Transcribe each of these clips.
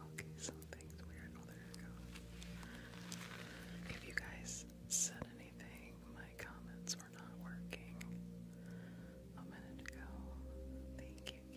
Okay, something's weird. Oh, there it If you guys said anything, my comments were not working a minute ago. Thank you, Candy.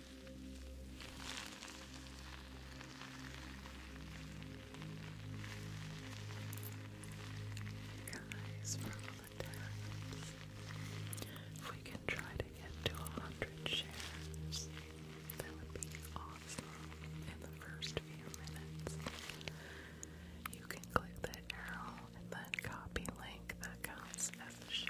Guys, if we can try to get to a hundred shares, that would be awesome in the first few minutes. You can click the arrow and then copy link that counts as a share.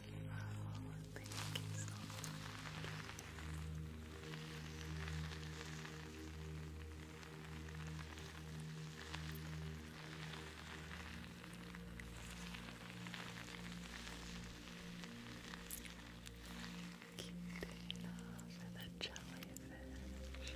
Hello, thank you so much. Cutie for the jellyfish. Thank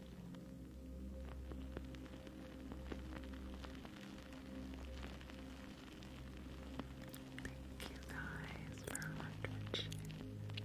Thank you guys for a hundred shares. Thank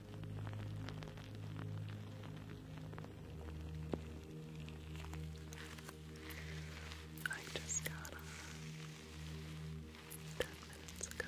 I just got on uh, ten minutes ago. I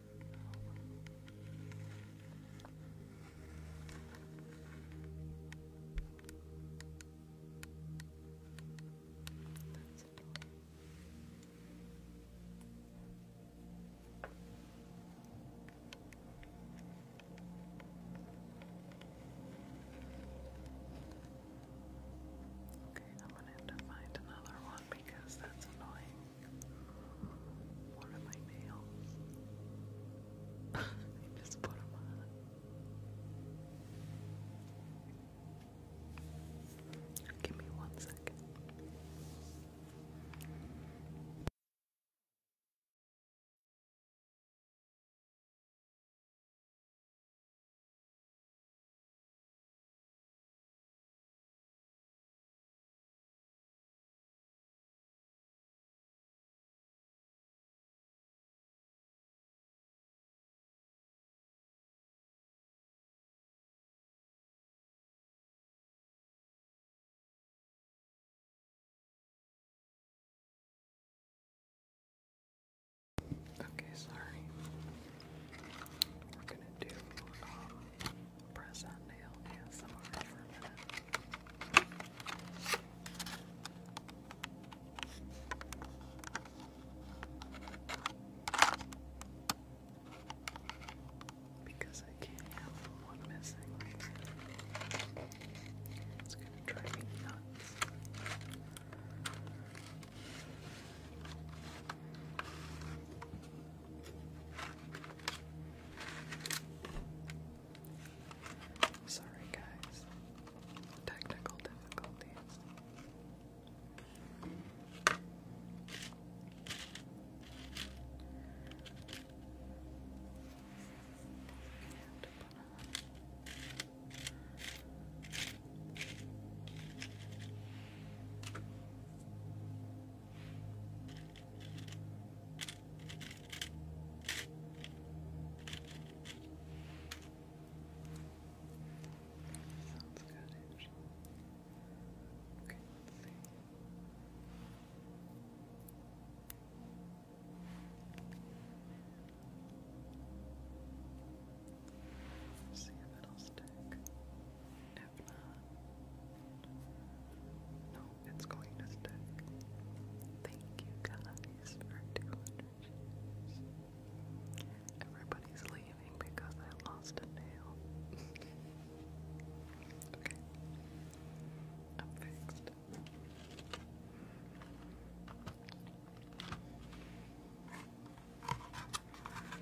That's Okay, I'm gonna have to find another one because that's annoying. One of my nails. just put them on. Give me one second. Okay, sorry. We're gonna do um, press on nail ASMR for a Because I can't have one missing It's gonna drive me nuts. Sorry, guys. Technical difficulties. Sounds good, Okay, let's see. See if it'll stick. No, it's going to stick. Thank you guys for 200 shares. Everybody's leaving because I lost a nail. okay. I'm fixed.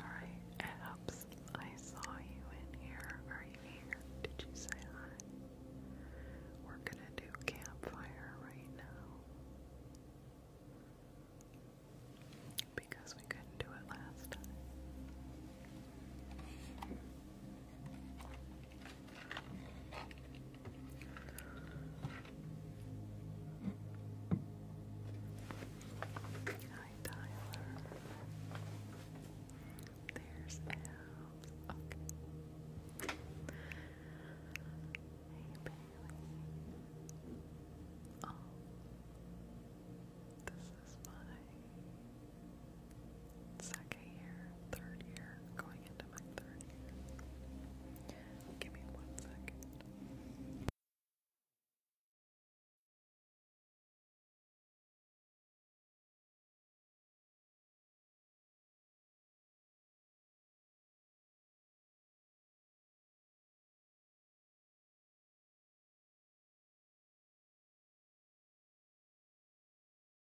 Alright, it I saw you in here. Are you here? Did you say hi? We're gonna do campfire right now because we couldn't do it last time. Hi, Tyler. There's Al. Okay. Hey, Bailey. Oh, this is my second year third year, going into my third Give me one second.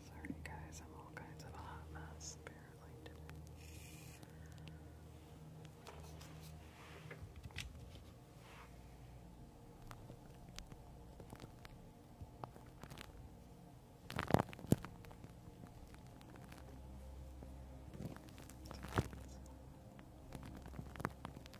Sorry guys, I'm all kinds of a hot mess apparently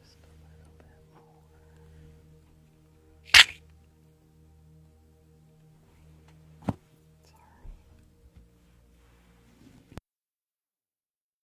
Just a little bit more. Sorry.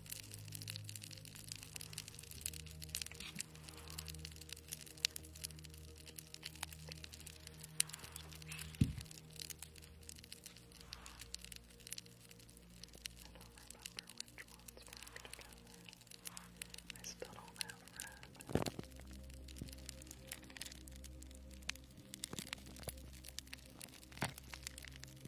which ones work together. I still don't have red. I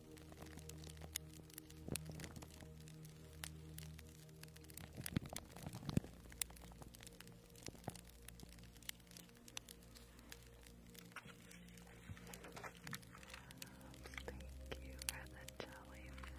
Thank you for the jellyfish.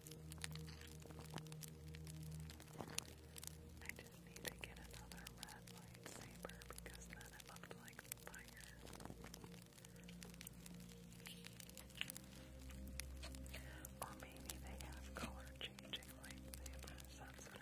I just need to get another red lightsaber because then it looked like fire. Or maybe they have color changing lightsabers, that's what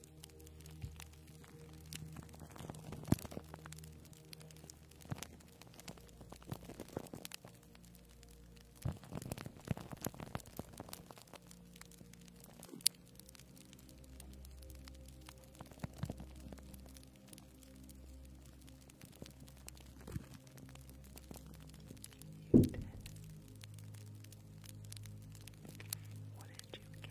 You did. What did you get?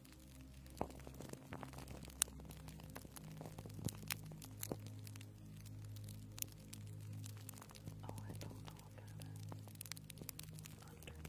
Oh, I don't know about it. Okay.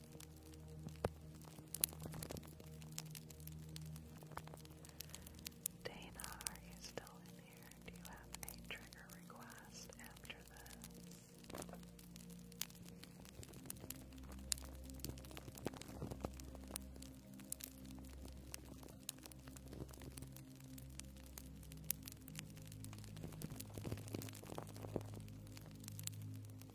Dana, are you still in here? Do you have a trigger request after this?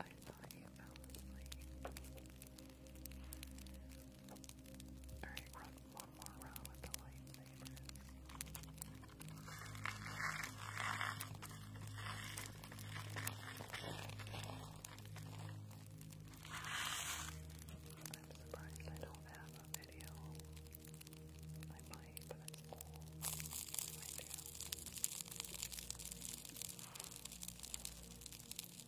I you Alright, one more round with the lightsabers. I'm surprised I don't have a video. I might, but it's all I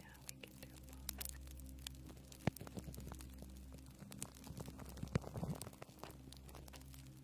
Now we can do both.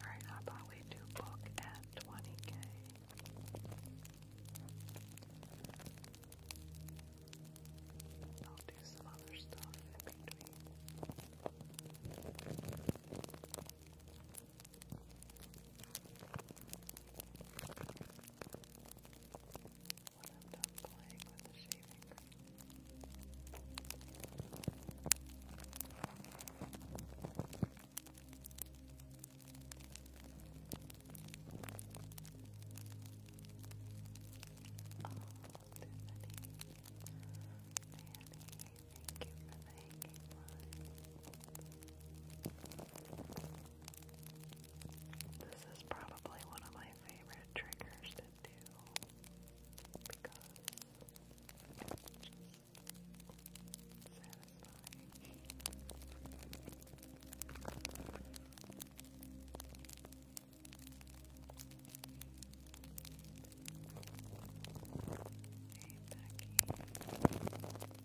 Alright, how about we do book at 20k? I'll do some other stuff in between when I'm done playing with the shaving cream. Oh, Tiffany, Manny, thank you for the hanging this is probably one of my favorite triggers to do because it's just satisfying.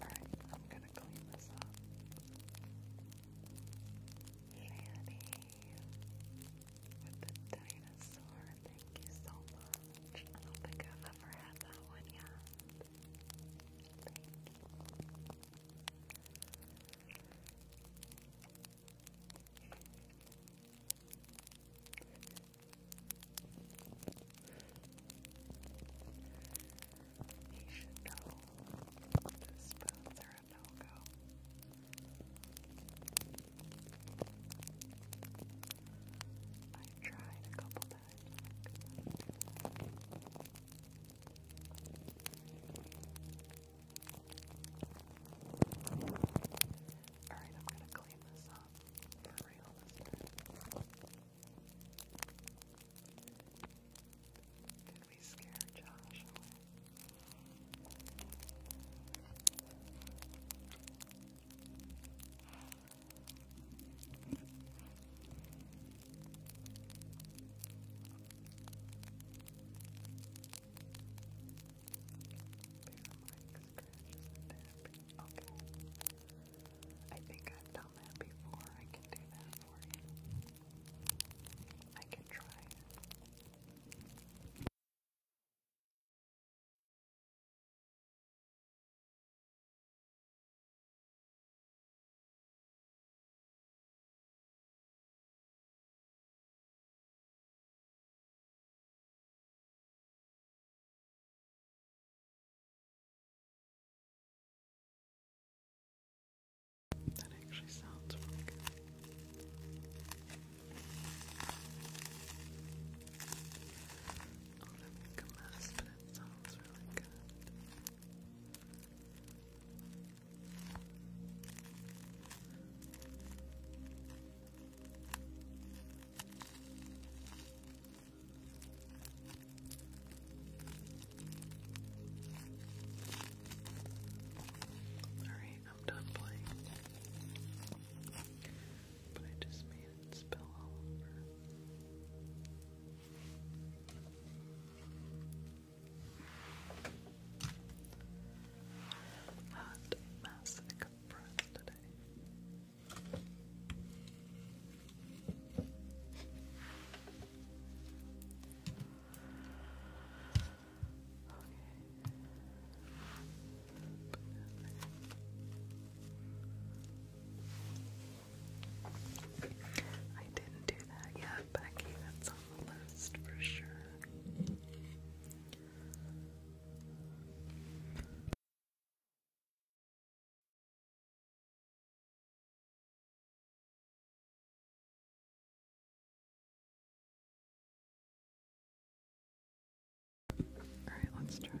Alright, I'm gonna clean this up. Fanny with the dinosaur, thank you so much. I don't think I've ever had that one yet. Thank you. You should know the spoons are a no go. i tried a couple times. Alright, I'm gonna clean this up for real Did we scare Josh there's Okay. I think I've done that before. I can do that for you. I can try that actually sounds good. I'll never make a mess, but it sounds really good. Alright, I'm done playing. But I just made it spill all over. Hot mess, of breath I didn't do that yet, Becky. That's on the list for sure. All right, let's try this.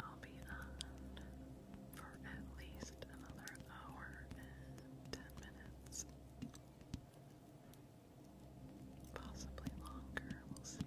I'll be on for at least another hour and ten minutes. Possibly longer, we'll see.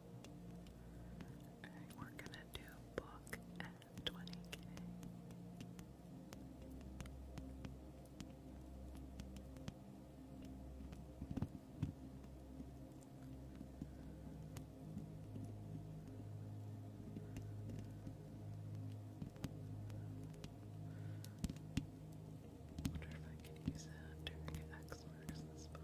Alright, we're gonna do book at 20k. I wonder if I could use that during X marks this one.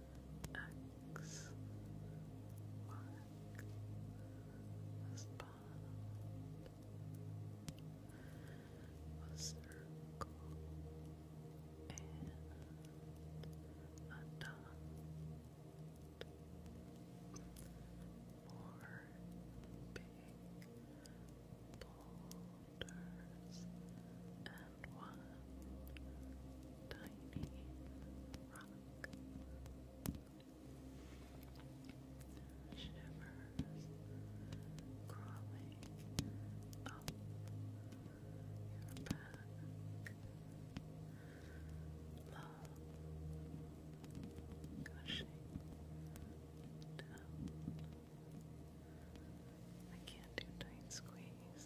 X marks the circle and a dot. Four big boulders and one tiny Shivers crawling up your back. Love gushing down. I can't do tight squeeze.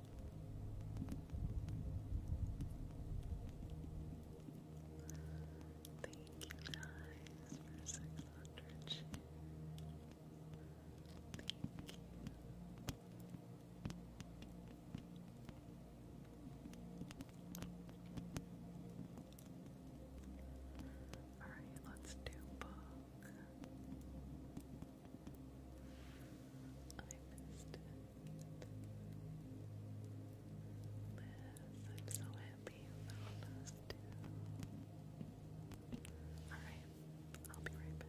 Thank you guys for 600 Alright, let's do book. I missed it. Liz, I'm so happy you found us Alright, I'll be right back.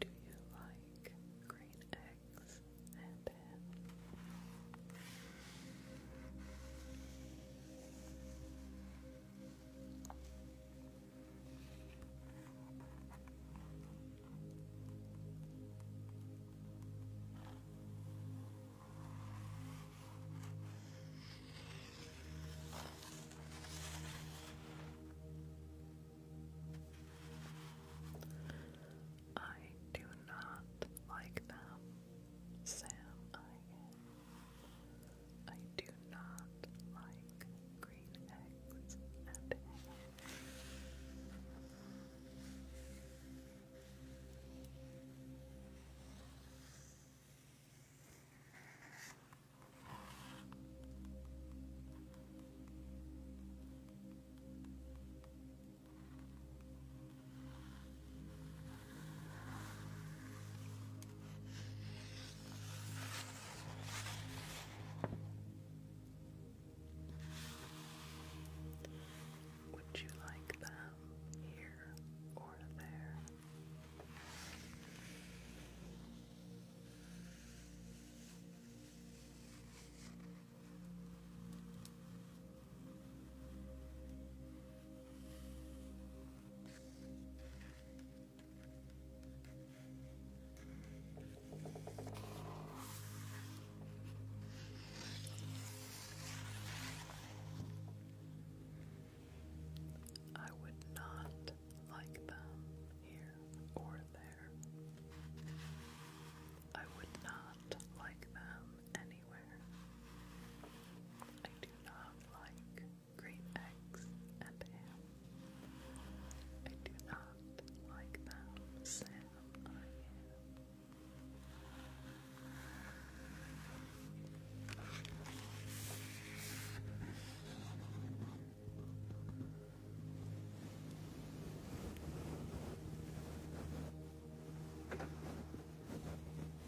Do you like green eggs and ham? I do not like them, Sam. I I do not like green eggs and would you like them here or there? I would not like them here or there. I would not like them anywhere. I do do not like green eggs and ham. I do not like them, Sam.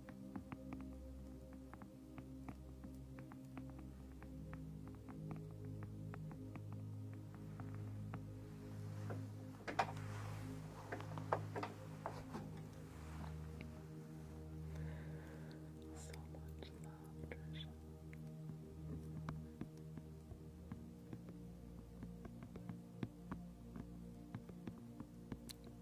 So much love, treasure.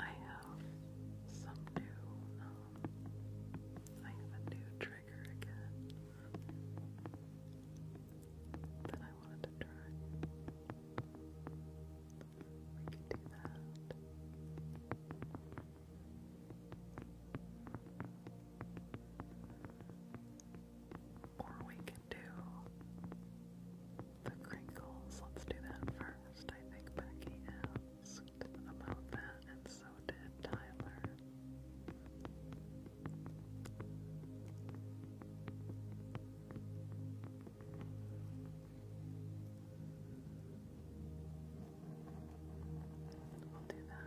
I have some new, um, I have a new trigger again that I wanted to try. We could do that. Or we can do the crinkles. Let's do that first. I think Becky asked about that, and so did Tyler. We'll do that.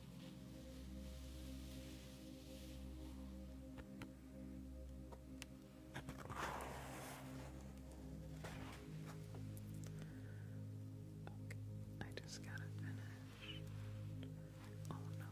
Okay, I just gotta finish. Oh no. Okay.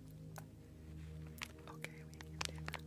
Okay, we can do that. Okay.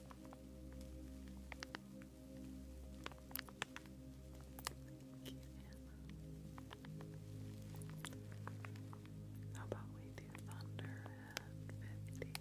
Thank you, How about we do thunder at fifty?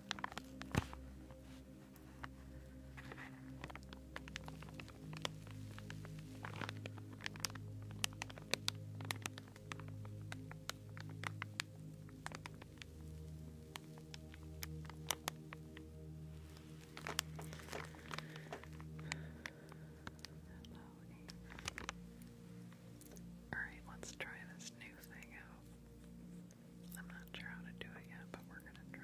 Alright, let's try this new thing out. I'm not sure how to do it yet, but we're gonna try.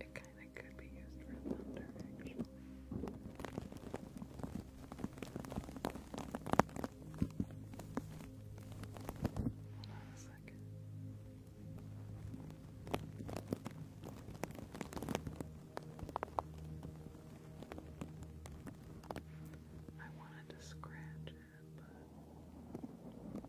It kind of could be used for thunder, actually. Hold on I wanted to scratch it, but is too loud?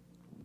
That's cool.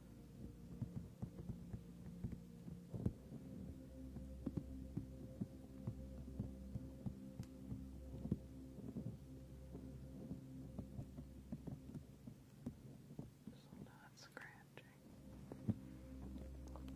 So not scratching. All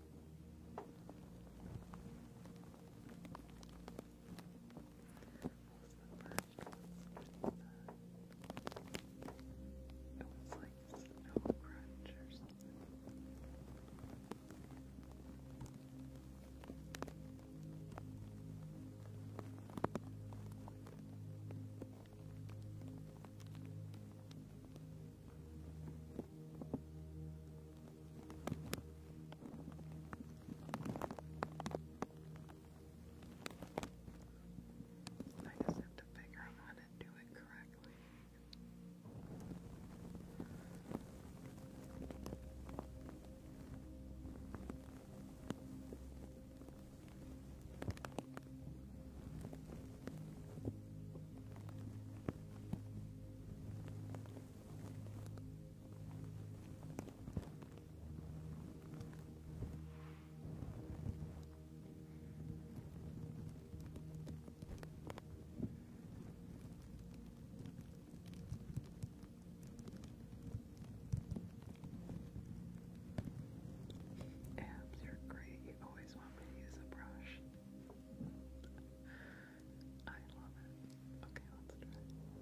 It was like snow crunch or something. I I just have to figure out how to do it correctly. Abs are great. You always want me to use a brush. I love it. Okay, let's try.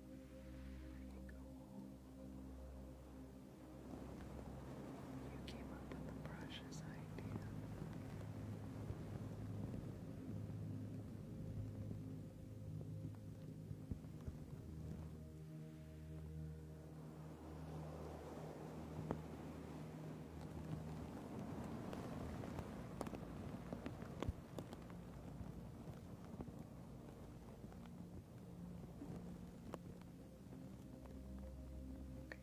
You came up with the brushes idea. Thank Okay, let's try. Okay,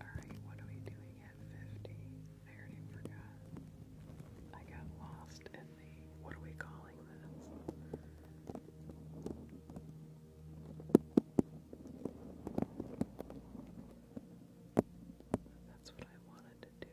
Alright, what are we doing at 50? I already forgot. I got lost in the. What are we calling this? That's what I wanted to do,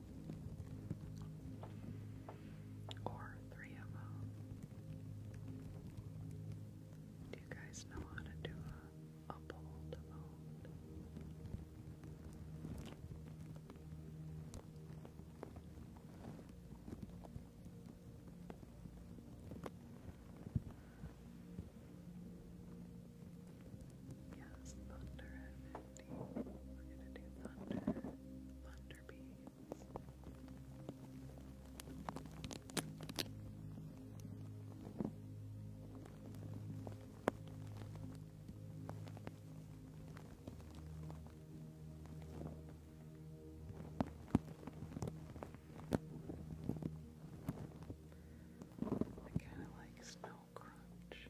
Or three of them. Do you guys know how to do a, a poll to Yes, thunder at 50. We're going to do thunder, thunder, after beads. I kind of like snow crunch.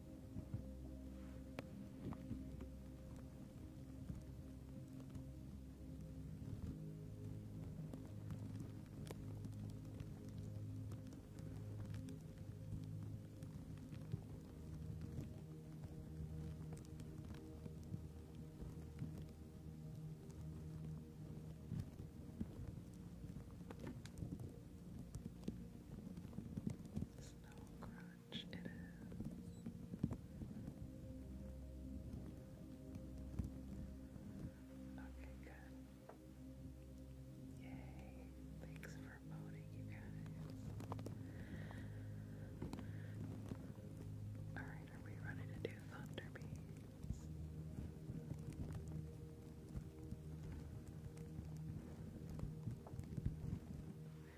Snow cry much Okay, good. Yay. Thanks for voting, you guys. Alright, are we ready to do Thunder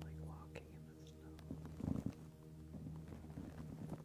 Like walking in the snow. Thank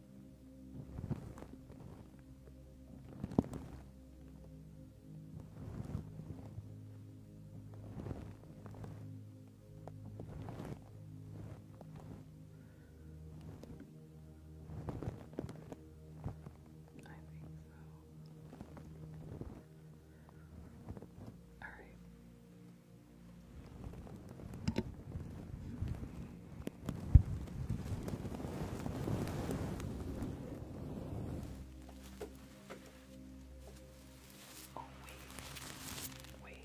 I think so. All right. Oh, wait, wait.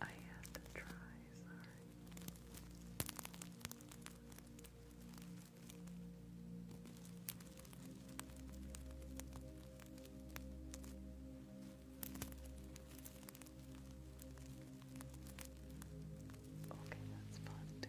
I have to try, sorry. Okay, that's fun too.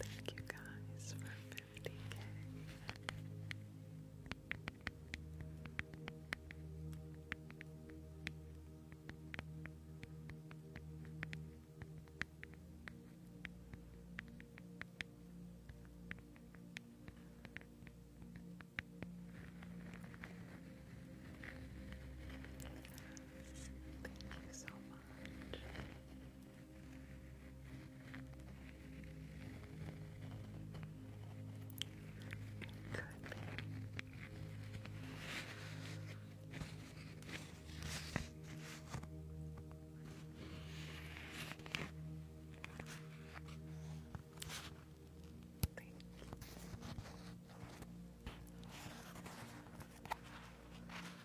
Thank you guys for 50k. Thank you so much. Could be. Thank you.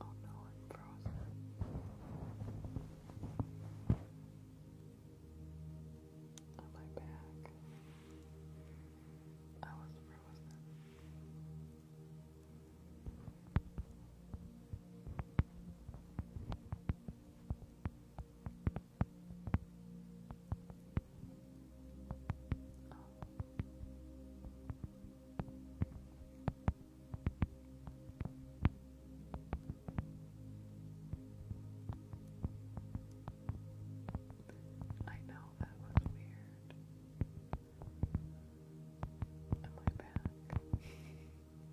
Oh no, I'm frozen. On my back. I was frozen. I know that was weird. Am I back? Did it change?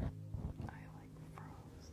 I like frogs,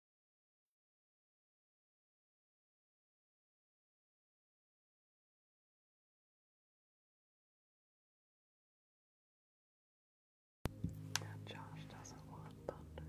And Josh doesn't want thunder.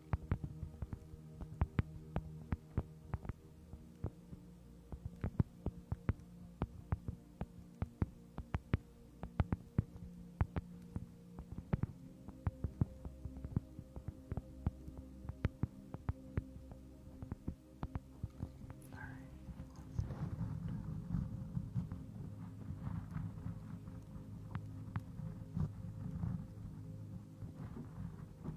All right. All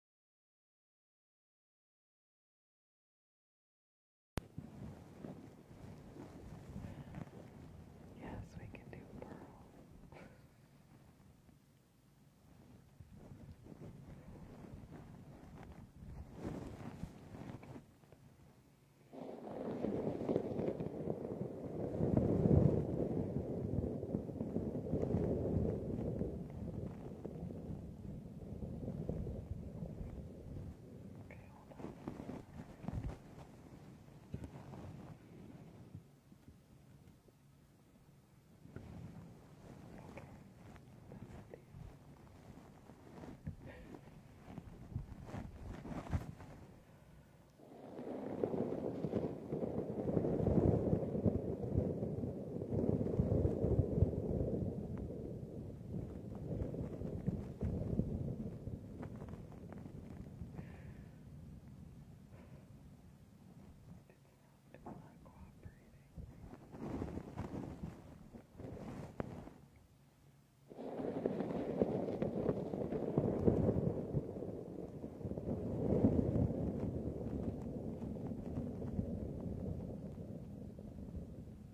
Yes, we can do pearl. Okay, hold on. Okay. Okay. It's not cooperating.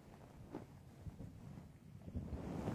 Josh put a spell on the Thunderdome.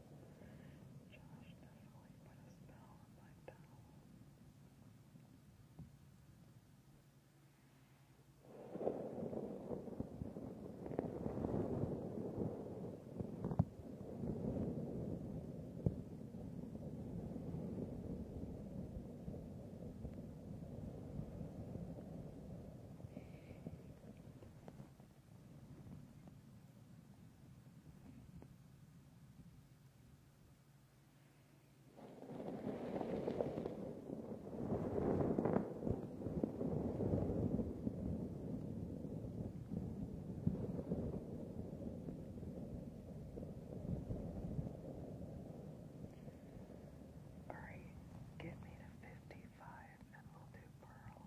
Josh definitely put a spell on my towel. Thank you, Alright, get me to 55 and we'll do Pearl.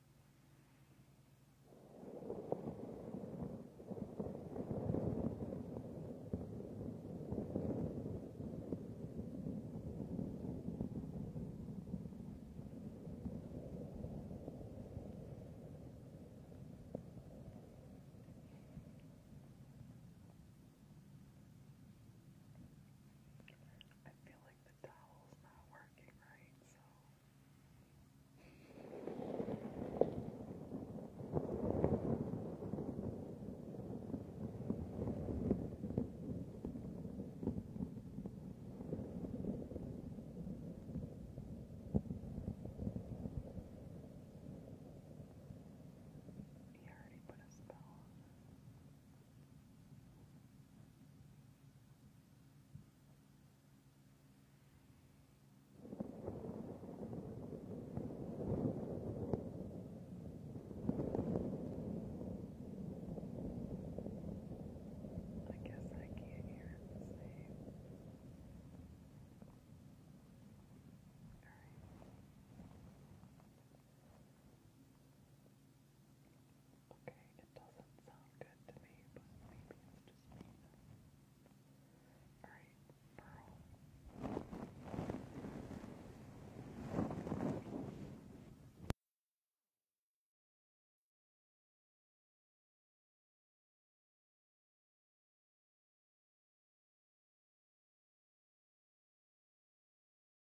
I feel like the towel's not working working right, he already put a spell on. It. I guess I can't hear it the same. All right. Okay, it doesn't sound good to me, but maybe it's just me. Alright, Pearl.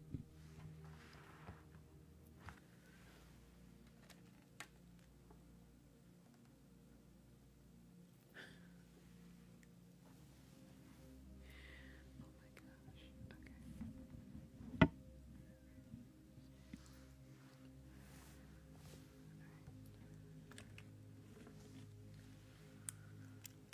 Oh my gosh. Okay. All right.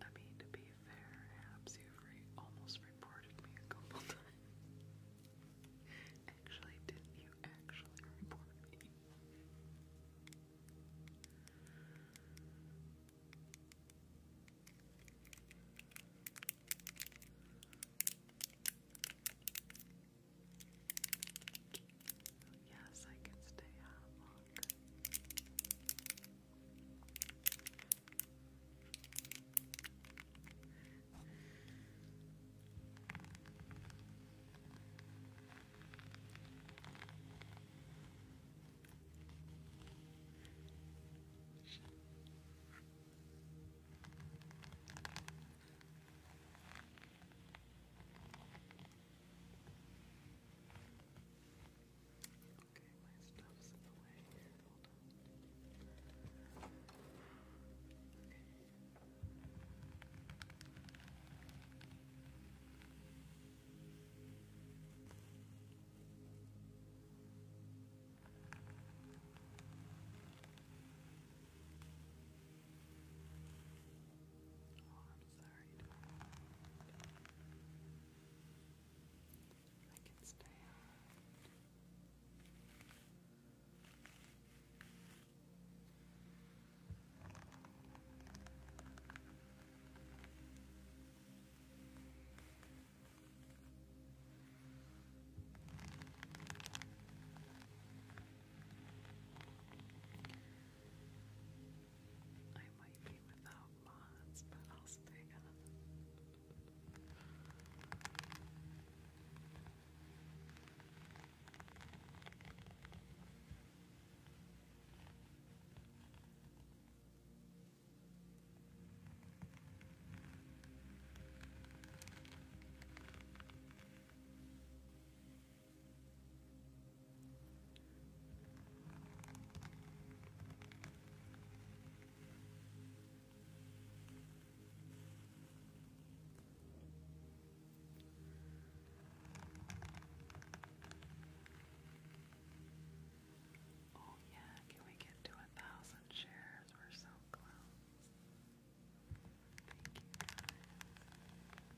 I mean, to be fair, Habs, you almost reported me a couple times. actually, didn't you actually report me? Yes, I can stay out longer. All Okay, my stuff's in the way. Hold on. Okay. Oh, I'm sorry. I can stay out. I I might be without mods, but I'll stay Oh, yeah, can we get to a thousand shares? We're so close. Thank you,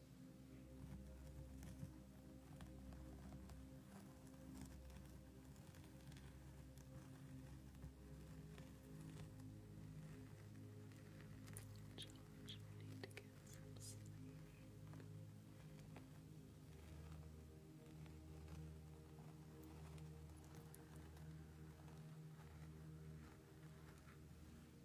George, we need to get some sleep. Relax.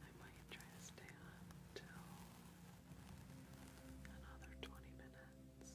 I might try to stay on till another 20 minutes.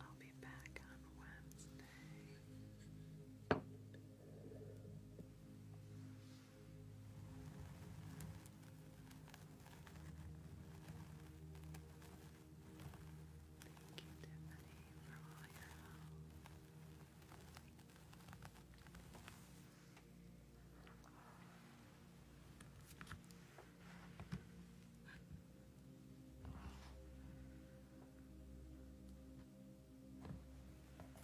I'll be back on Wednesday. Thank you, Tiffany, for all your help.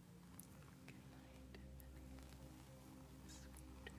Sweet Good night.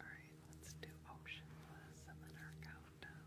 Alright, let's do optionless and then our countdown.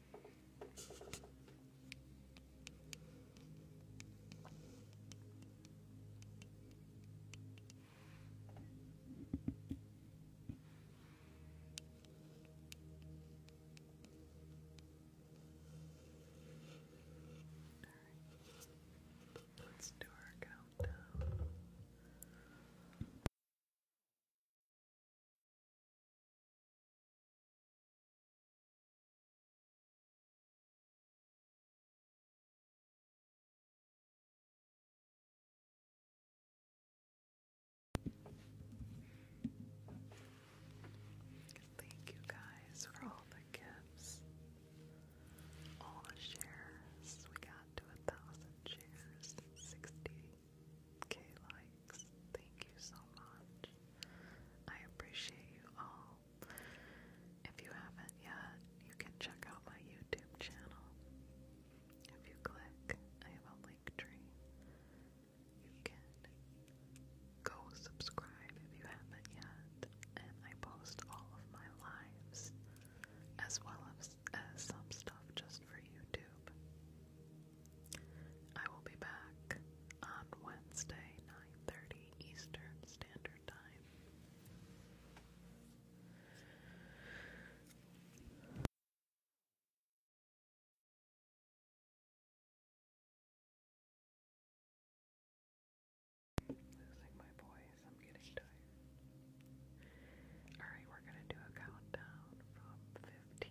right. Let's do our countdown. Thank you guys for all the gifts, all the shares. We got to a thousand shares, 60k likes. Thank you so much. I appreciate you all. If you haven't yet, you can check out my YouTube channel. If you click, I have a link tree. You can go subscribe if you haven't yet, and I post all of my lives as well as some stuff just for YouTube. I will be back on Wednesday, 9:30 Eastern Standard Time. Losing my voice, I'm getting tired. Alright, we're gonna do a countdown from 15.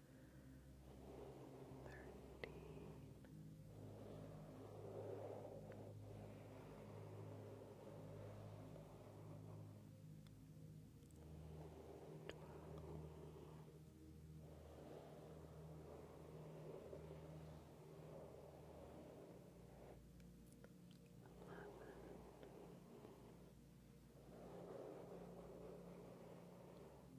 thirteen twelve Eleven. Ten.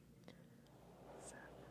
seven, six, Four,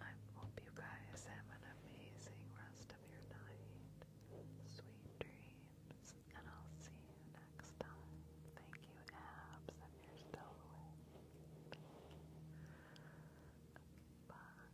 I hope you guys have an amazing rest of your night. Sweet dreams, and I'll see you next time. Thank you, Abs, if you're still awake. Bye.